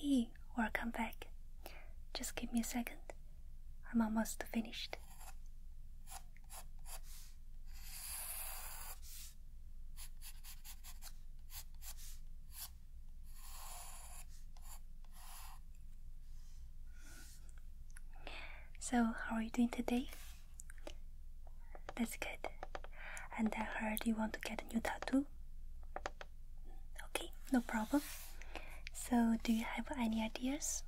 Hey, welcome back. Just give me a second. I'm almost finished. So, how are you doing today? That's good. And I heard you want to get a new tattoo. Okay, no problem. So, do you have any ideas?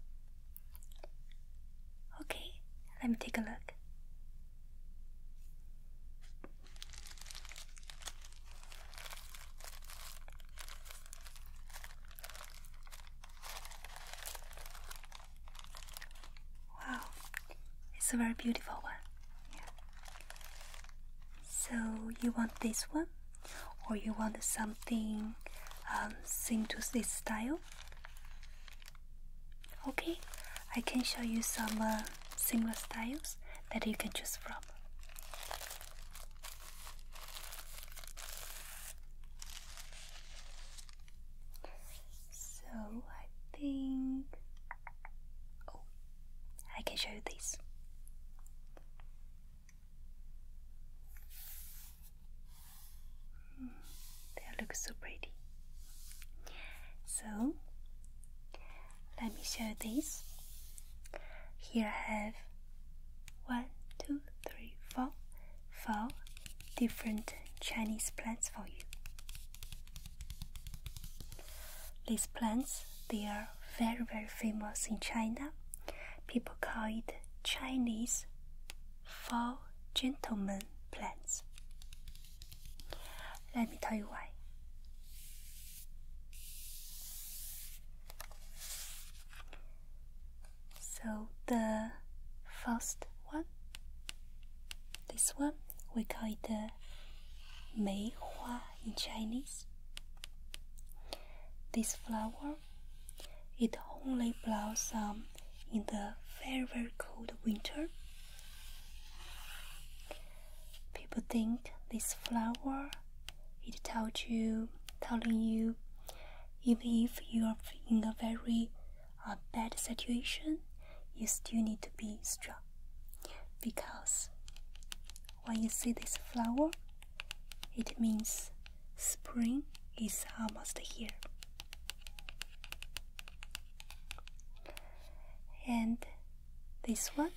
Okay, let me take a look. Wow, it's a very beautiful one. So you want this one, or you want something um, similar to this style? Okay, I can show you some uh, similar styles that you can choose from. So I think oh, I can show you this. Mm, they look so pretty. So let me show you this. Here I have one, two, Three, four, four different Chinese plants for you. These plants they are very very famous in China. People call it Chinese four gentlemen plants. Let me tell you why. So the first one, this one, we call it the Mei Hua in Chinese. This flower, it only blossoms um, in the very very cold winter. People think this flower it tells you, telling you, even if you are in a very uh, bad situation, you still need to be strong. Because when you see this flower, it means spring is almost here. And this one,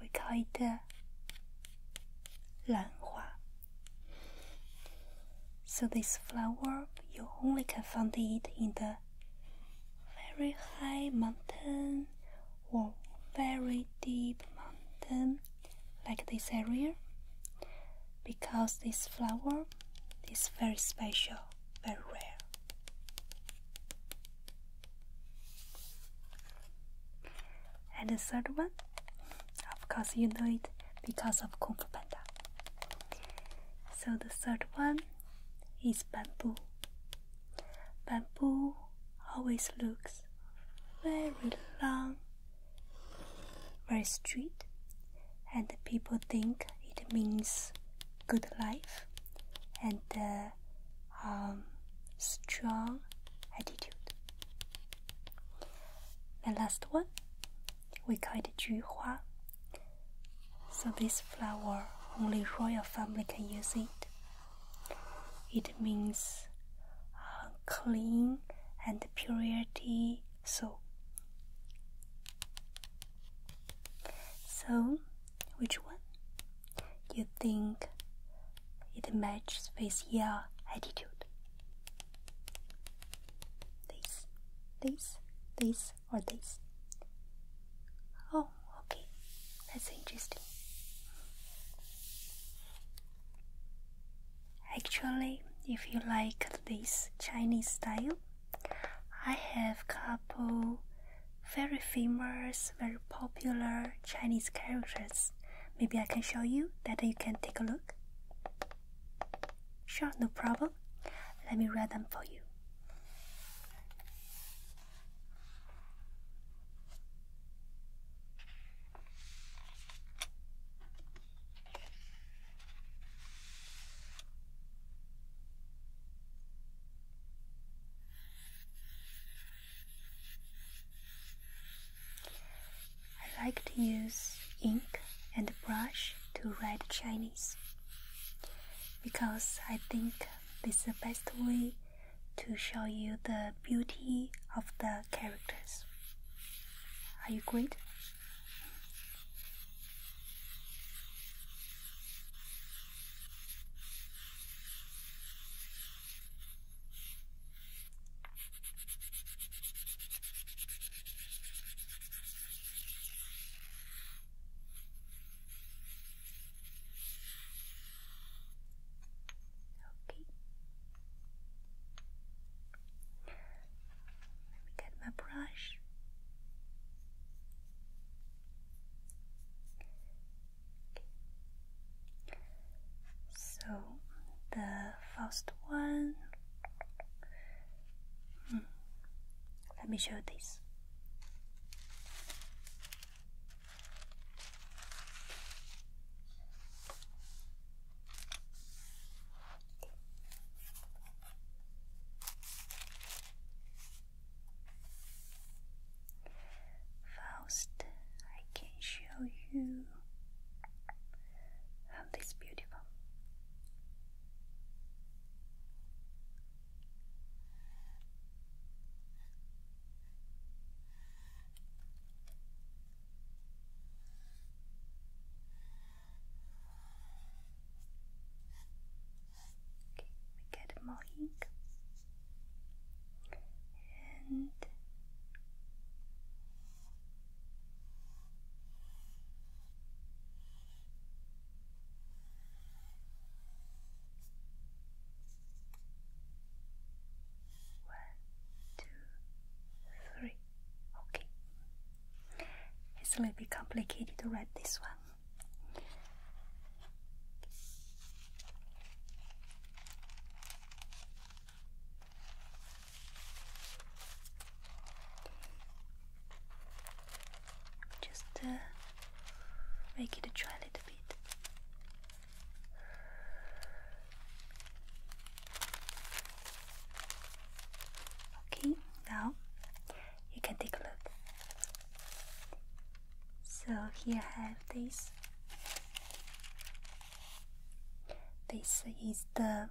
we call it 兰花。so this flower you only can find it in the very high mountain or very deep mountain like this area because this flower is very special, very rare. And the third one, of course, you know it because of Kung Fu Panda. So the third one is bamboo. Bamboo always looks very long, very straight, and people think it means good life and uh, um, strong attitude. The last one, we call it Juhua. So this flower, only royal family can use it. It means uh, clean and purity So, So, which one you think it matches with your attitude. This, this, this, or this. Oh, okay. That's interesting. Actually, if you like this Chinese style, I have couple very famous, very popular Chinese characters Maybe I can show you that you can take a look. Sure, no problem. Let me read them for you. I like to use ink and brush to write Chinese because I think this is the best way to show you the beauty of the characters. Are you agreed? Okay. Let me get my brush. Okay. So the first one, hmm, let me show this. First, I can show you and it's beautiful. Okay, we get more ink and one, two, three. Okay. It's a little bit complicated to read this one. Just uh, make it dry a little bit. Okay, now you can take a look. So here I have this this is the,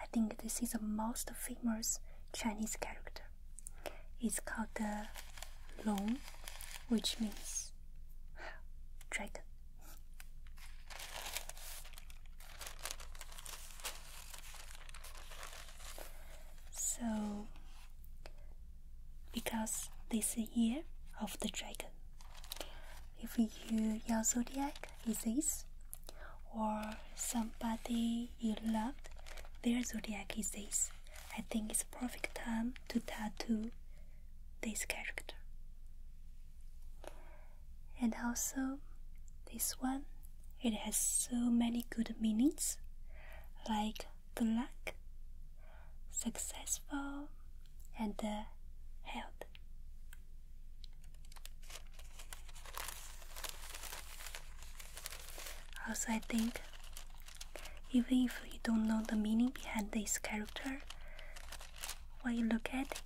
I think this is the most famous Chinese character. It's called the Long, which means dragon. So, because this year of the dragon, if you your zodiac is this, or somebody you loved, their zodiac is this, I think it's perfect time to tattoo this character. And also, this one, it has so many good meanings, like the luck, successful, and the health. Also, I think even if you don't know the meaning behind this character, when you look at it,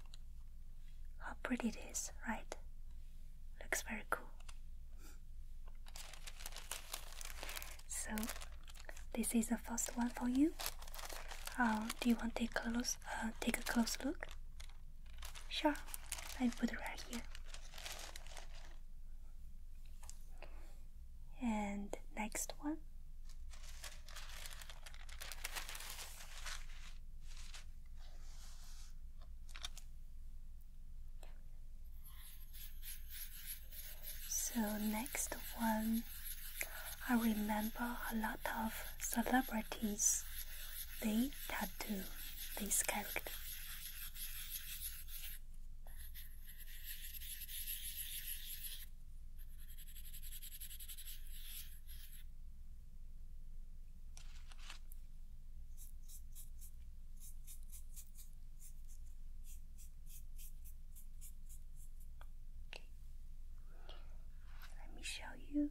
how pretty it is, right? Looks very cool. So, this is a first one for you. Uh, do you want to take, close, uh, take a close look? Sure, I put it right here. And next one. So next one I remember a lot of celebrities they tattoo this character. Let me show you.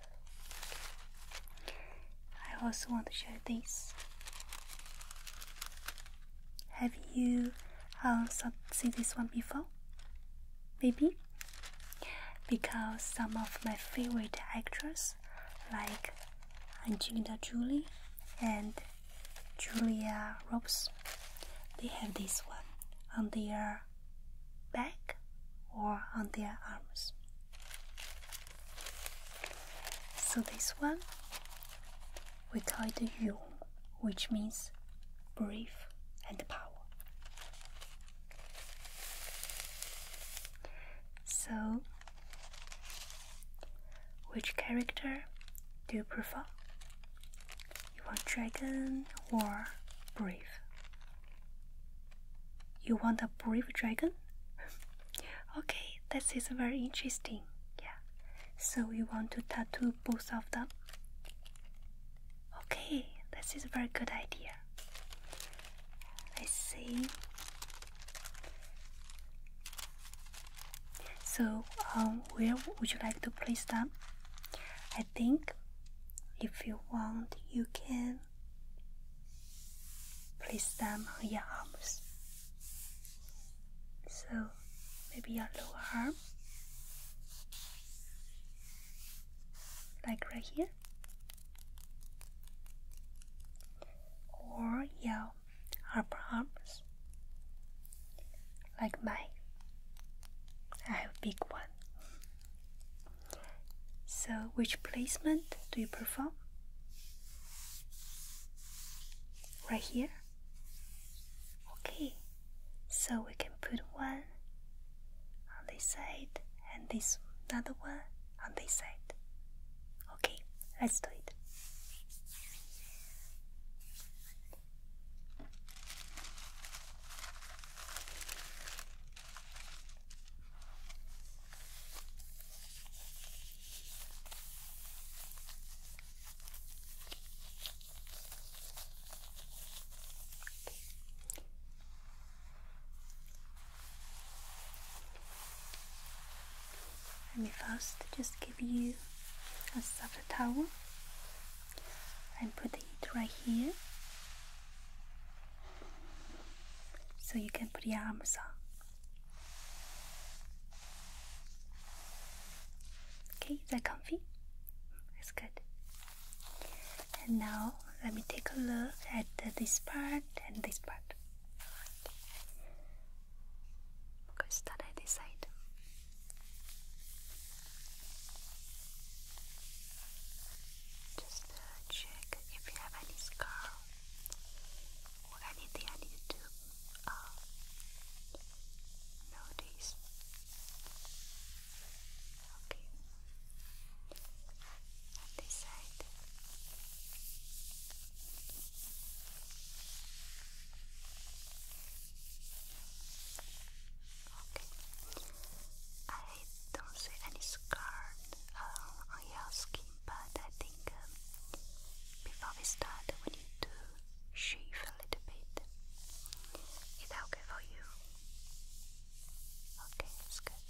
I also want to share this. Have you also uh, seen this one before? Maybe? Because some of my favorite actors, like Angelina Jolie and Julia Roberts, they have this one on their back or on their arms. So this one we call it Yu, which means brave and power. So, which character do you prefer? You want dragon or brave? You want a brave dragon? okay, that is very interesting. Yeah. So you want to tattoo both of them? Okay, this is a very good idea. I see. So, um, where would you like to place them? I think if you want, you can place them on your arms. So maybe your lower arm, like right here, or your upper arms, like mine. I have big one. So, which placement do you prefer? Right here? Okay, so we can put one on this side and this another one on this side. Okay, let's do it. Let me first just give you a soft towel and put it right here so you can put your arms on. Okay, is that comfy? That's good. And now let me take a look at this part and this part. We're going to start at this side. Just uh, check if you have any scar or anything I need to uh, notice. Okay. this side. Okay. I don't see any scars uh, on your skin, but I think um, before we start, we need to shave a little bit. Is that okay for you? Okay, that's good.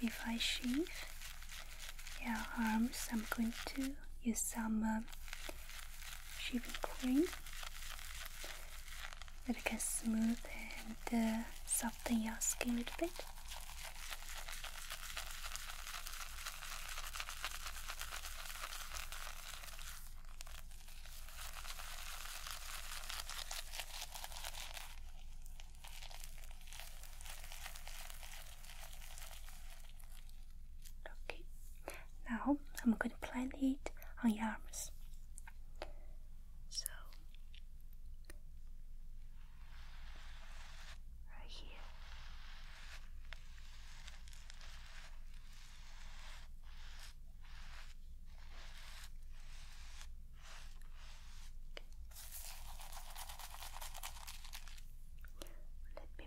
So if I shave your arms, I'm going to use some um, shaving cream that can smooth and uh, soften your skin a little bit. Okay, now I'm going to plant it on your arms. So, right here. Let me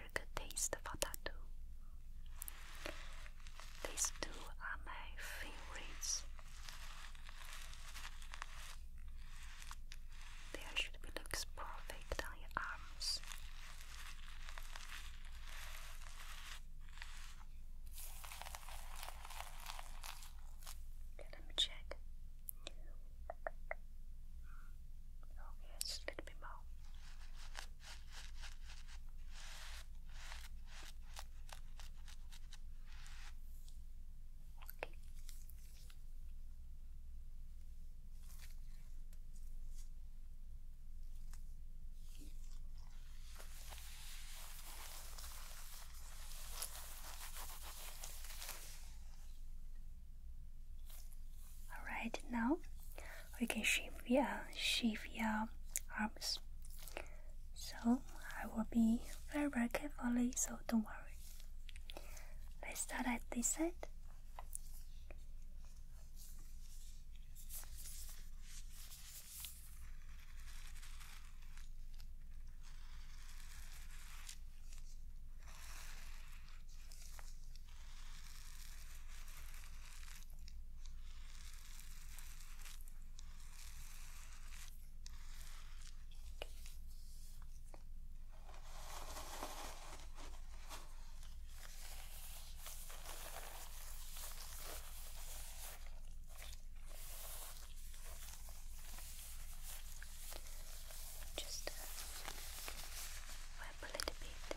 very good taste of that too. These two are my favorites. There should be looks perfect on your arms. let me check. Okay, oh, a little bit more. All right, now we can shift yeah shift your arms. So I will be very very carefully, so don't worry. Let's start at this side. Just uh, wipe a little bit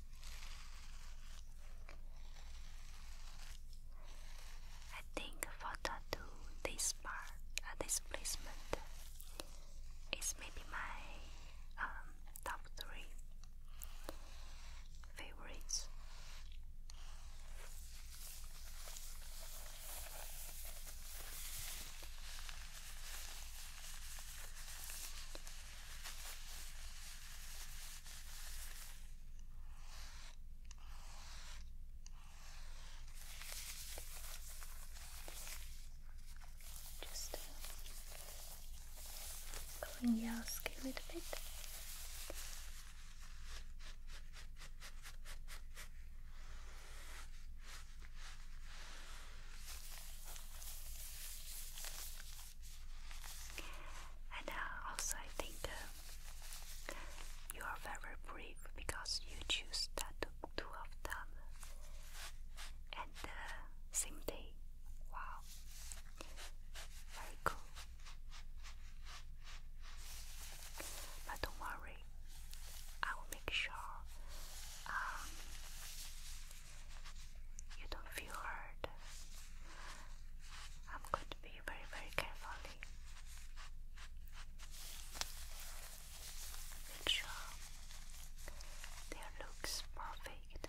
I think photo to this part, uh, this placement is maybe my um, top three favorites. Just uh, clean your skin a little bit. And uh, also, I think uh, you are very brave because you choose that two of them at uh, same day. Wow, very cool. But don't worry, I will make sure um, you don't feel hurt. I'm going to be very, very carefully. Make sure there looks perfect.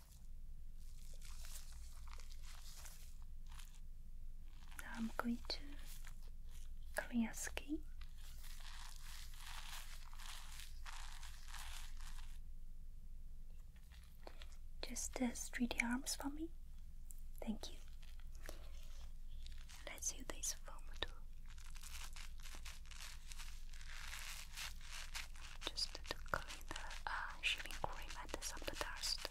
Now I'm going to clear skin. Just the straight arms for me. Thank you. Let's use this foam just to clean the uh, shaving cream and some the dust.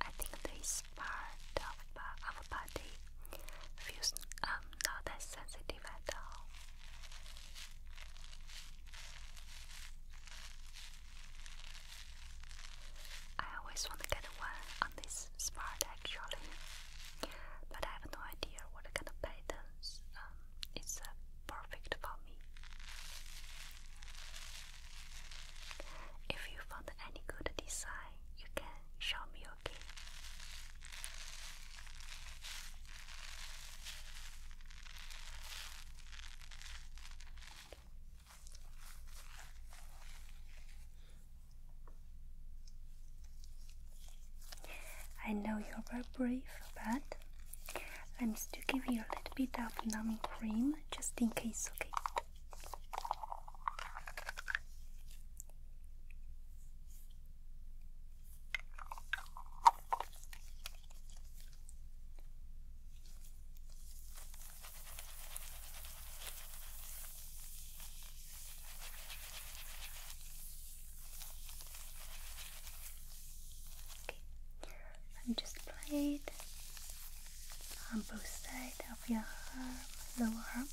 I think this part of, uh, of body feels um, not that sensitive at all. I always want to get one on this spot actually, but I have no idea what kind of patterns is perfect for me. If you found any good design, you can show me I know you're very brave, but I'm still giving you a little bit of numbing cream just in case, okay? I'm just playing on both sides of your arm, lower arms.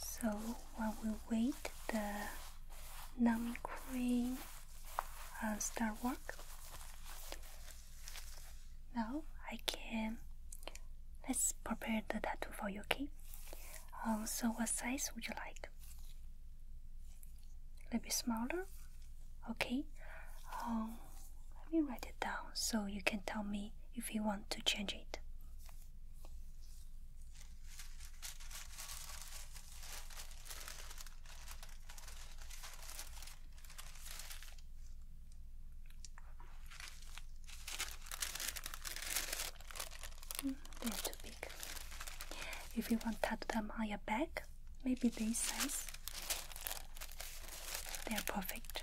So while we wait the numbing cream will uh, start work, now I can let's prepare the tattoo for you, okay? Also, um, what size would you like? a little bit smaller. Okay, um, let me write it down so you can tell me if you want to change it. Hmm, if you want to tattoo them on your back, maybe this size, they are perfect.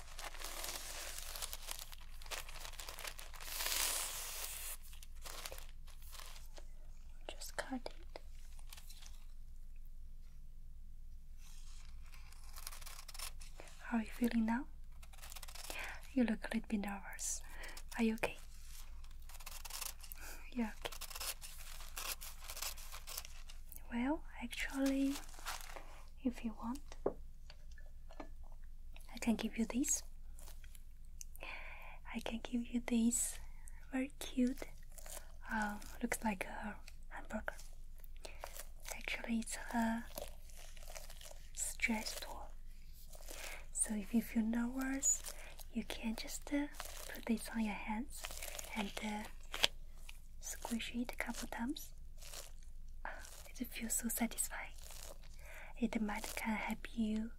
Just cut it. How are you feeling now? You look a little bit nervous. Are you okay? Yeah, okay. Well, actually, if you want. I can give you this. I can give you this very cute. Um, looks like a hamburger. Actually, it's a stress tool. So if you feel nervous, you can just uh, put this on your hands and uh, squish it a couple times it feels so satisfying. It might can help you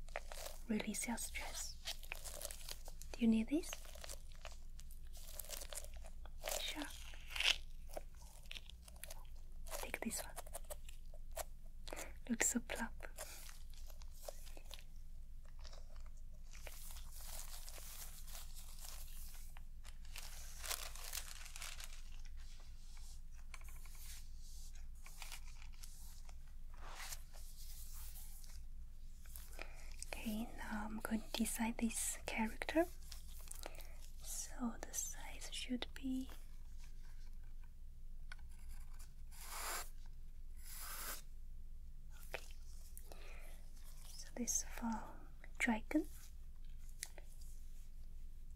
release your stress. Do you need this? Sure. Take this one. Looks so plump. Okay, now I'm going to design this character. So the size should be okay. So this for dragon.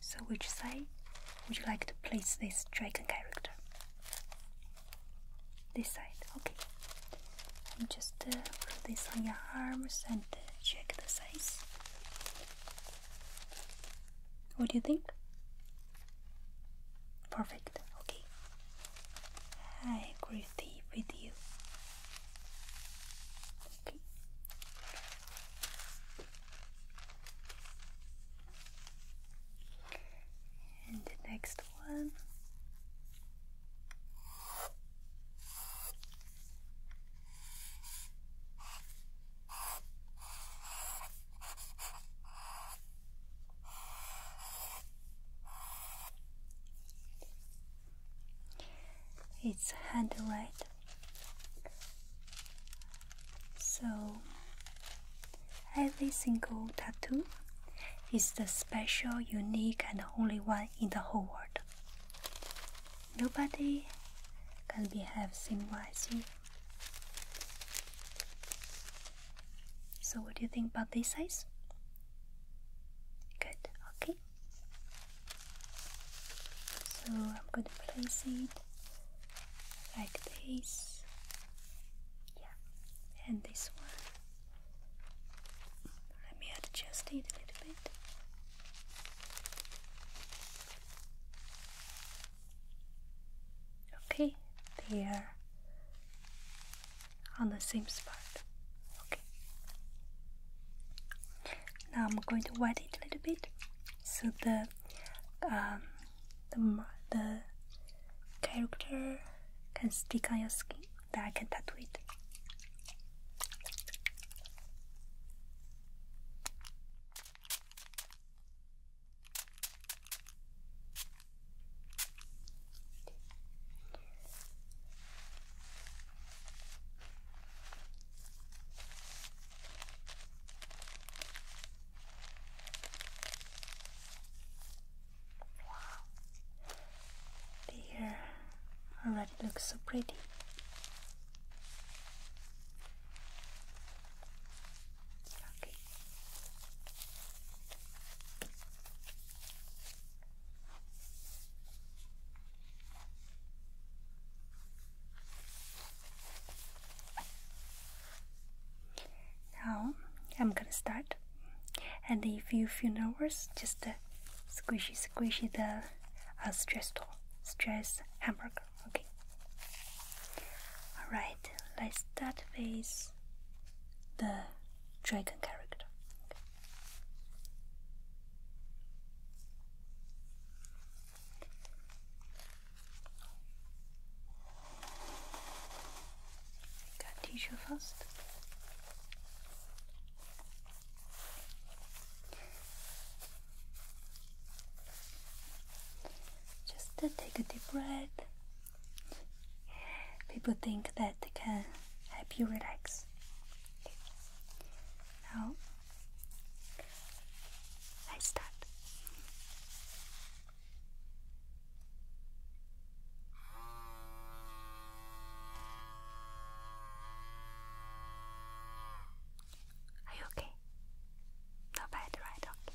So which side would you like to place this dragon character? This side, okay. And just uh, put this on your arms and uh, check the size. What do you think? Perfect, okay. I agree with you. Okay. And the next one. It's handle so, every single tattoo is the special, unique, and only one in the whole world. Nobody can be have same one So, what do you think about this size? Good, okay. So I'm going to place it like this. Yeah, and this one. Let me adjust it a little bit. Okay, there. on the same spot. Okay. Now I'm going to wet it a little bit so the um, the the character can stick on your skin that I can tattoo it. Wow, the hair already looks so pretty. Okay. Now I'm gonna start, and if you feel nervous, just uh, squishy, squishy the uh, stress tool, stress hamburger. Okay. All right. Let's start with the dragon character. Got tissue first. Just to take a deep breath. People think that they can help you relax. Now I start. Are you okay? Not bad, right? Okay.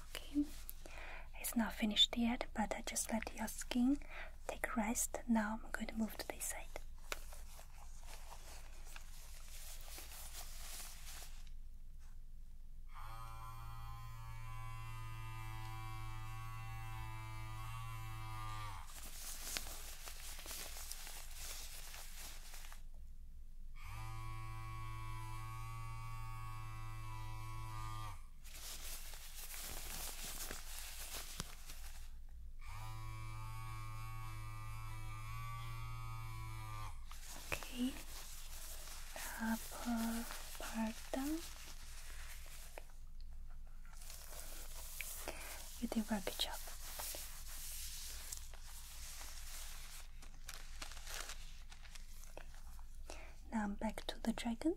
okay it's not finished yet but I just let your skin take rest now I'm going to move to this side Okay, upper part down. You did a good job. Now I'm um, back to the dragon.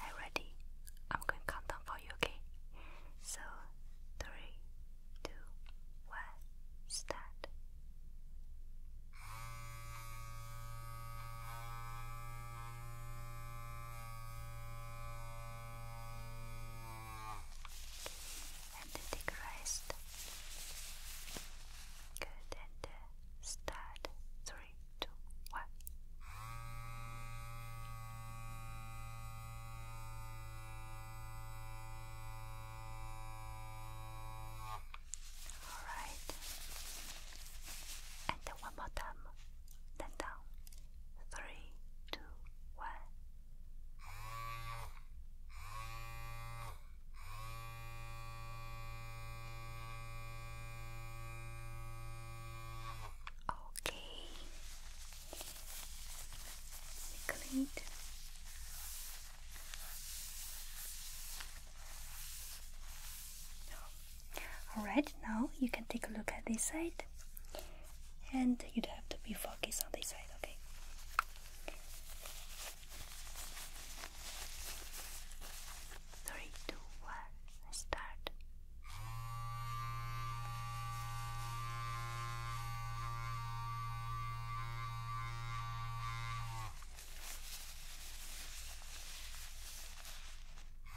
Are you ready? I'm going to for you, okay? So, three, two, one, start and take a Good, and uh, start. Three, two, one. All right, and one more time. Then down three, two, one. Okay, great. All right, now you can take a look at this side and you'd have to be focused on this side, okay? Three, two, one, start. Okay,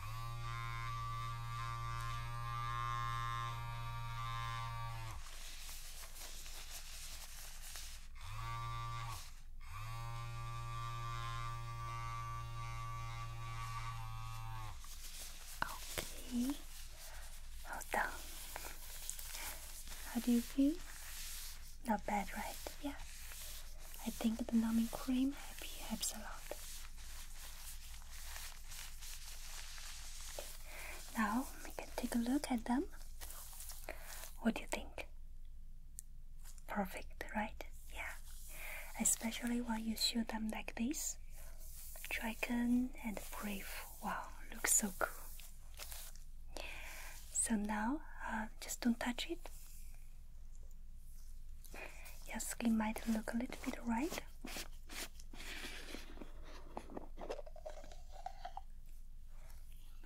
well done. How do you feel? Not bad, right? Yeah. I think the numbing cream helps a lot. Now we can take a look at them. What do you think? Perfect, right? Yeah. Especially when you shoot them like this. Dragon and brave. Wow, looks so cool. So now, uh, just don't touch it. Your skin might look a little bit right.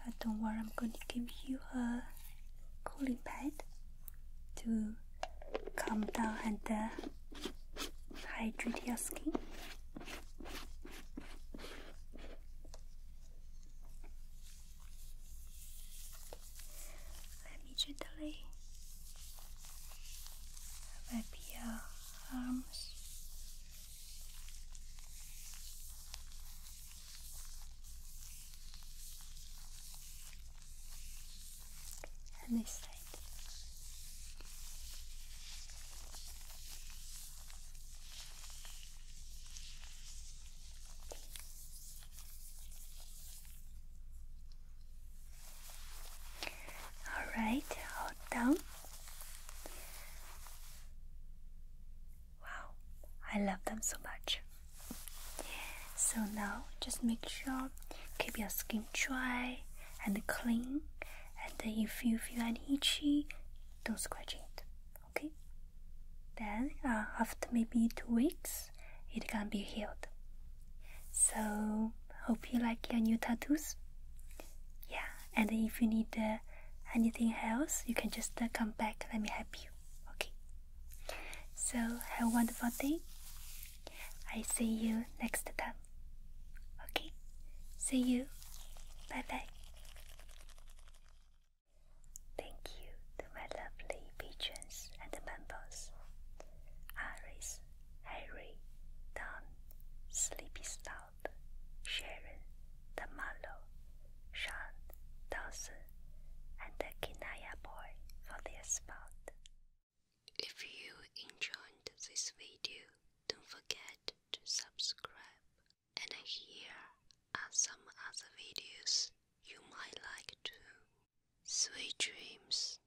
But don't worry, I'm going to give you a cooling pad to calm down and uh, hydrate your skin. Let me gently Maybe your uh, arms. And this side. Alright, hold down. Wow, I love them so much. So now just make sure keep your skin dry and clean and if you feel any itchy, don't scratch it. Okay? Then uh, after maybe two weeks it can be healed. So, hope you like your new tattoos. Yeah, and if you need uh, anything else, you can just uh, come back. Let me help you. Okay. So, have a wonderful day. I see you next time. Okay. See you. Bye bye. Thank you to my lovely patrons and members. Iris, Harry, Don, Sleepy Stout, Sharon, the Marlowe, Sean, Dawson, and the Kinaya Boy for their spot. If you enjoyed this video, don't forget to subscribe. And here are some other videos you might like too. Sweet dreams.